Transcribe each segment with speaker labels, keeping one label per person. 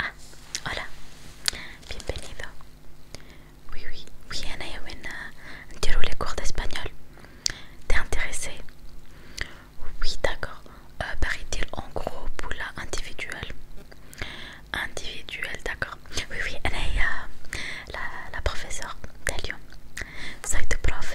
Speaker 1: Ah, hola, bienvenido. Oui, oui, oui, Anna Wena, entiero euh, les cours d'espagnol. T'es intéressé Oui, d'accord. Euh, il en gros pour la Individuel, d'accord. Oui, oui, elle est euh, la, la professeure de Lyon. Soy tu profe.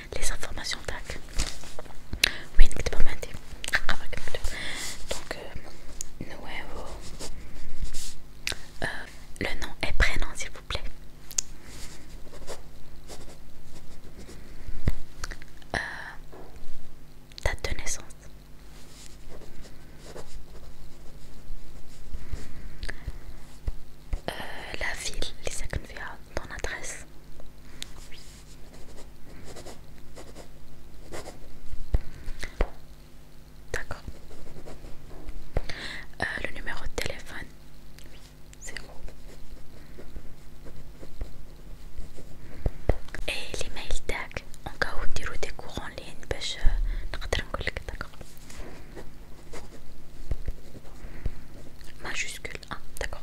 Speaker 1: les informations tac Oui n'est عندي هاكا Donc, Donc, euh, nous euh, le nom et prénom s'il vous plaît euh, date de naissance la ville les sacs de ton adresse oui D'accord. Euh, le numéro de téléphone, oui, c'est gros Et l'email tag, en cas où tu des cours en ligne, je euh, d'accord. Majuscule 1, d'accord.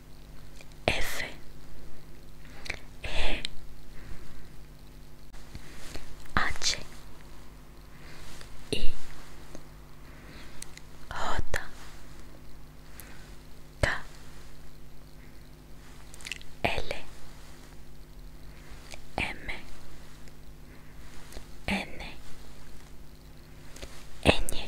Speaker 1: F E H I J K L M N Ñ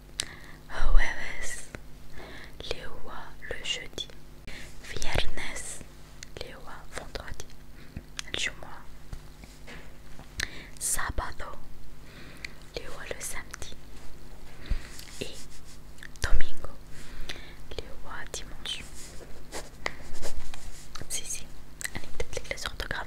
Speaker 1: Jueves, le jeudi. Viernes, le vendredi. Jumua. Sabado, les le samedi. Et domingo, le dimanche. Si, si, avec peut-être les orthographes.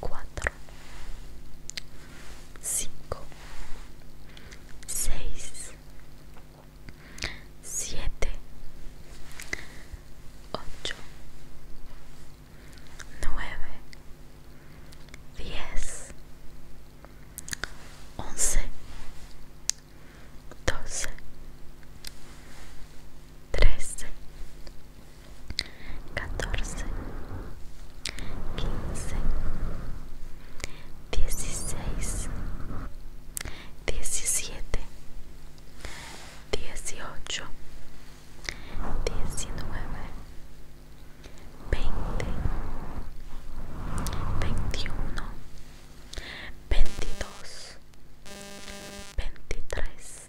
Speaker 1: Cuatro Cinco Seis Siete Ocho Nueve Diez Once Doce 13 catorce, quince, dieciséis, diecisiete, dieciocho, diecinueve, veinte, veintiuno, veintidós, veintitrés.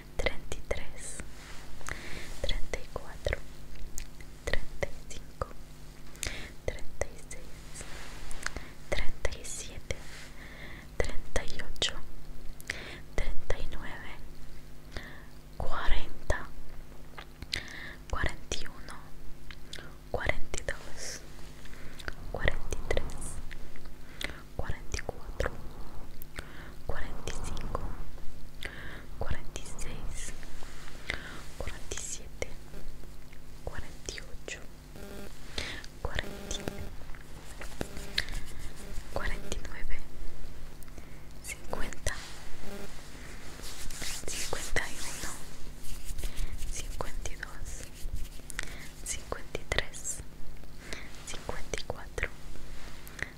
Speaker 1: 33 34 35 36 37 38 39 40 41 42 43 44 45 46 47 48 49 50 51 52 53 54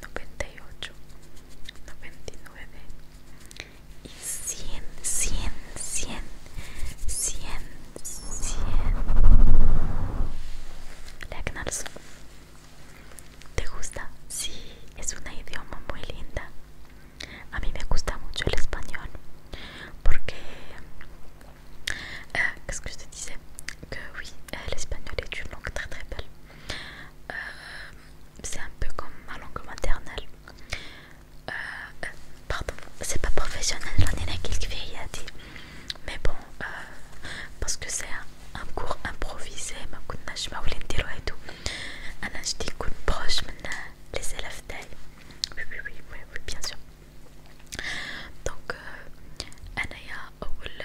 Speaker 1: 98 99 y 100 100 100 100 100 Legnars ¿Te gusta? Sí, es un idioma muy linda a mí me gusta mucho el español porque, ¿qué eh, es que usted dice? que oui, euh, l'espagnol est une langue très très belle. Euh, c'est un peu comme ma langue maternelle. Euh, pardon, c'est pas professionnel, j'en ai quelques dit Mais bon, parce que c'est un, cours improvisé, ma connais pas où dire et tout. Alors je dis qu'on proche maintenant les élèves Oui, oui, oui, oui, oui, bien sûr. Donc, euh, ou oh, le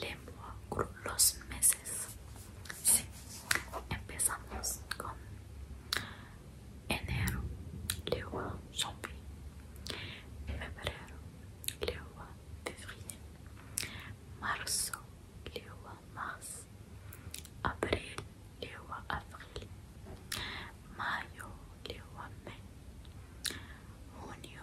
Speaker 1: lengua los meses. Sí. Empezamos con enero, le lengua zombie. Febrero, le lengua février. Marzo, le lengua mars. Abril, le lengua abril. Mayo, le lengua mes. Junio,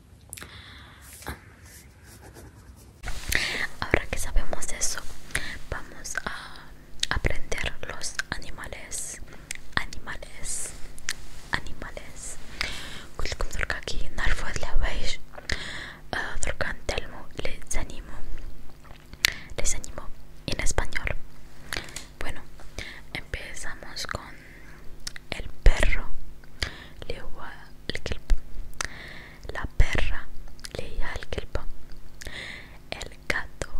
Speaker 1: Ahora que sabemos eso, vamos a aprender los animales, animales, animales. كلكم دركا كي نعرفوا ¿la veis? دركا ah, Les les les Les en español. Bueno, empezamos con el perro le el kelp. La perra le el kelp. El gato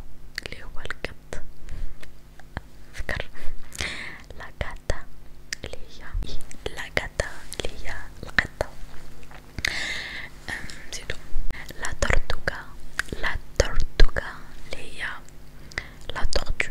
Speaker 1: le al cat. La gata le y la gata le la em, La tortuga, la tortuga, leía la tortuga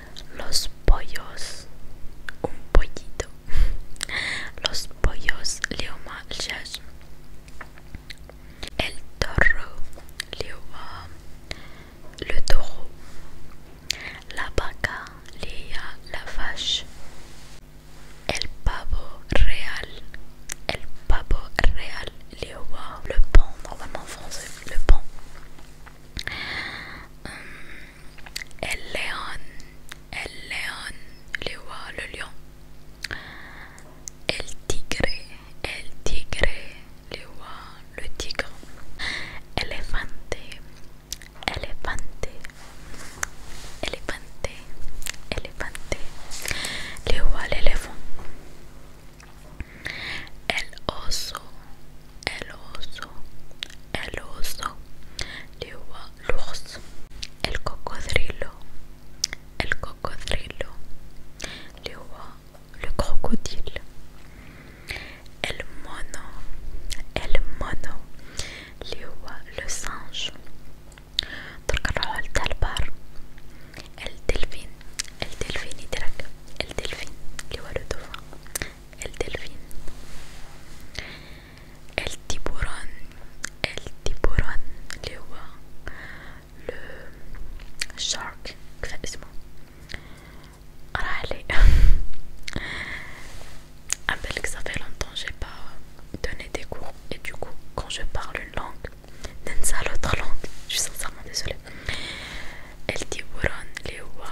Speaker 1: Los pollos, un pollito. Los pollos le manchas. El toro, le le taureau. La vaca, lea la vache. El pavo real, el pavo real, le pont, normalement français, le pont. Hum. El León, El León, le voit le lion. El Tigre, El Tigre, le roi, le tigre. Elefante, Elefante, Elefante, Elefante, le roi, l'éléphant. El Oso, El oso, el oso, l'ours, el cocodrilo, el cocodrilo, le crocodile, el mono, el mono, le singe, el talbar el delphin el delfín, le dauphin, El delfin, el Tiburon el Tiburon lewa, le shark. Qu'est-ce que c'est Ah allez. que ça fait longtemps que j'ai pas donné des cours et du coup quand je parle une langue, d'en sa l'autre langue, je suis sincèrement désolée. El Tiburon lewa.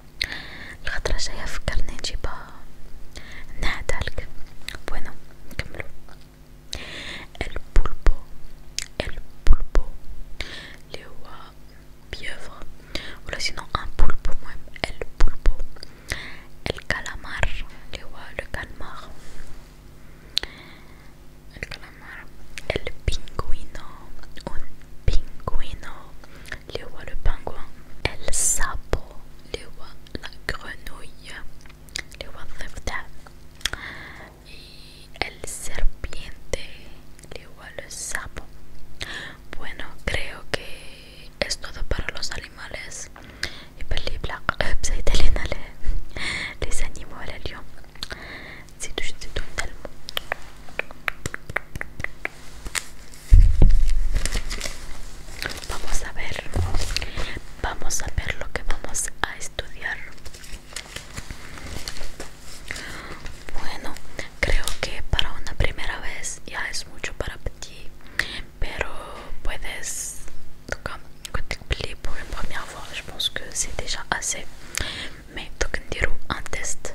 Speaker 1: El retraseño de Carnage nada, el que... bueno, me El pulpo El pulpo, le voy a... o si un pulpo, el pulpo El calamar Le voy el calamar El calamar El pingüino Un pingüino le roi le pingouin, el sapo, le la grenouille, le el y el serpiente, le roi el sapo. Bueno, creo que es todo para los animales. y para بلا black. زايد los les animó el león si tu, si vamos a ver vamos a ver lo que vamos a estudiar bueno creo que para una primera vez ya es mucho para ti pero puedes tocar quand tu plies por une première fois je pense que c'est déjà assez mais toquen on un test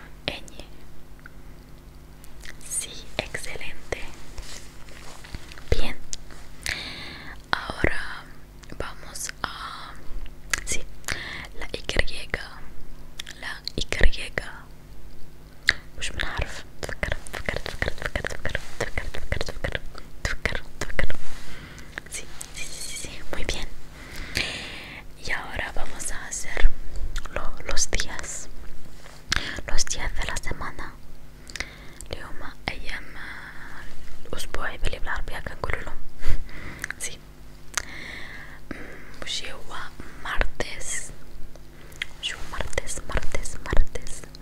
Speaker 1: Sí, excelente. Bien. Ahora vamos a... Sí, la Y. La Y. Sí, sí, sí, sí, muy bien y ahora vamos a hacer los días los días de la semana los voy a vivir la que martes martes martes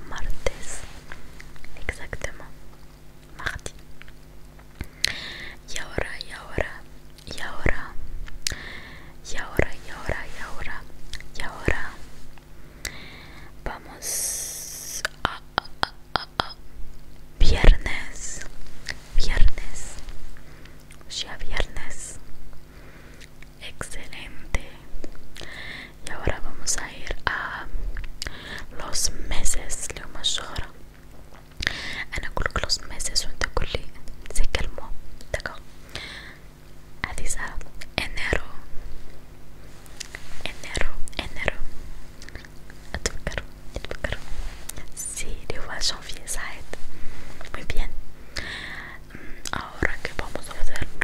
Speaker 1: martes exactamente marti y ahora y ahora y ahora y ahora y ahora y ahora y ahora vamos a, viernes viernes ya viernes excelente y ahora vamos a ir a los meses lo ahora en el último mes, se ¿Sé con el enero, enero, enero, enero, enero, enero, enero, enero, Sí, enero, enero, bien ahora que vamos ¿Ahora qué vamos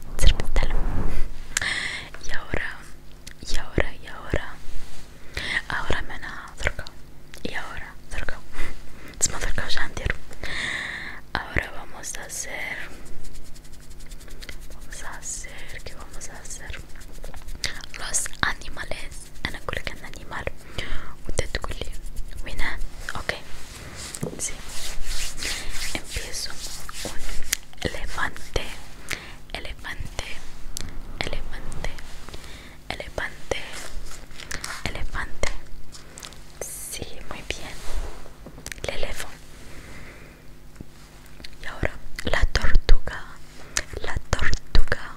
Speaker 1: serpental y ahora y ahora y ahora ahora me a acercado y ahora acercado se me ahora vamos a hacer vamos a hacer ¿Qué vamos a hacer los animales انا اقول لك عن animal un تقول لي وين Empiezo un elefante, elefante, elefante, elefante, elefante. Sí, muy bien. El elefante Y ahora la tortuga, la tortuga.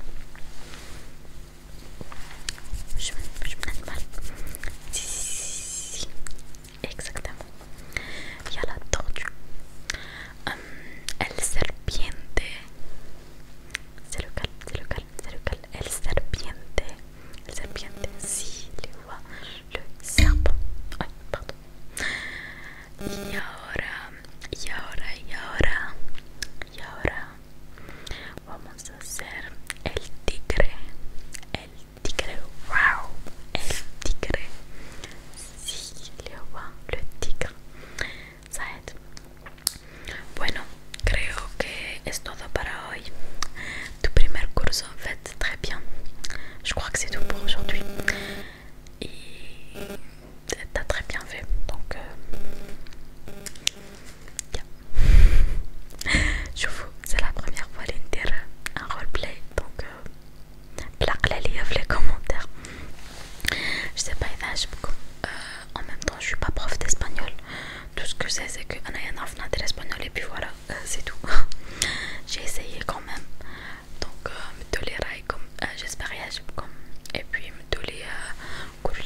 Speaker 1: Exactamente. Ya la tortuga el serpiente. Cerucal, lo El serpiente. El serpiente. Sí, le voy le serpent. Y ahora, y ahora, y ahora, y ahora. Vamos a hacer el tigre. El tigre, wow, tigre, Si, le tigre le tigre, Bon, Bueno, creo que c'est tout pour aujourd'hui Tu premier cours, en fait, très bien. Je crois que c'est tout pour aujourd'hui. Et t'as très bien fait, donc. Euh, je vous c'est la première fois que un roleplay. Donc, je euh, les les commentaires. Je sais pas, euh, En même temps, je suis pas prof d'espagnol. Tout ce que je sais, c'est que et puis voilà, euh, c'est tout. J'ai essayé quand même. Donc, je vais J'espère que Et puis, je vais je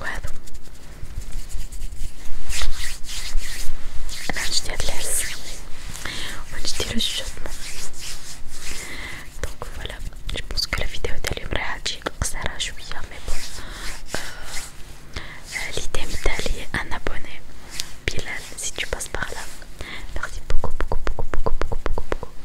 Speaker 1: Ouais, donc là je dis Adler, je dis le sujet. Donc voilà, je pense que la vidéo est allée au ça va, je Mais bon, euh, euh, l'idée est d'aller un abonné. Pile si tu passes par là, merci beaucoup, beaucoup, beaucoup, beaucoup, beaucoup, beaucoup.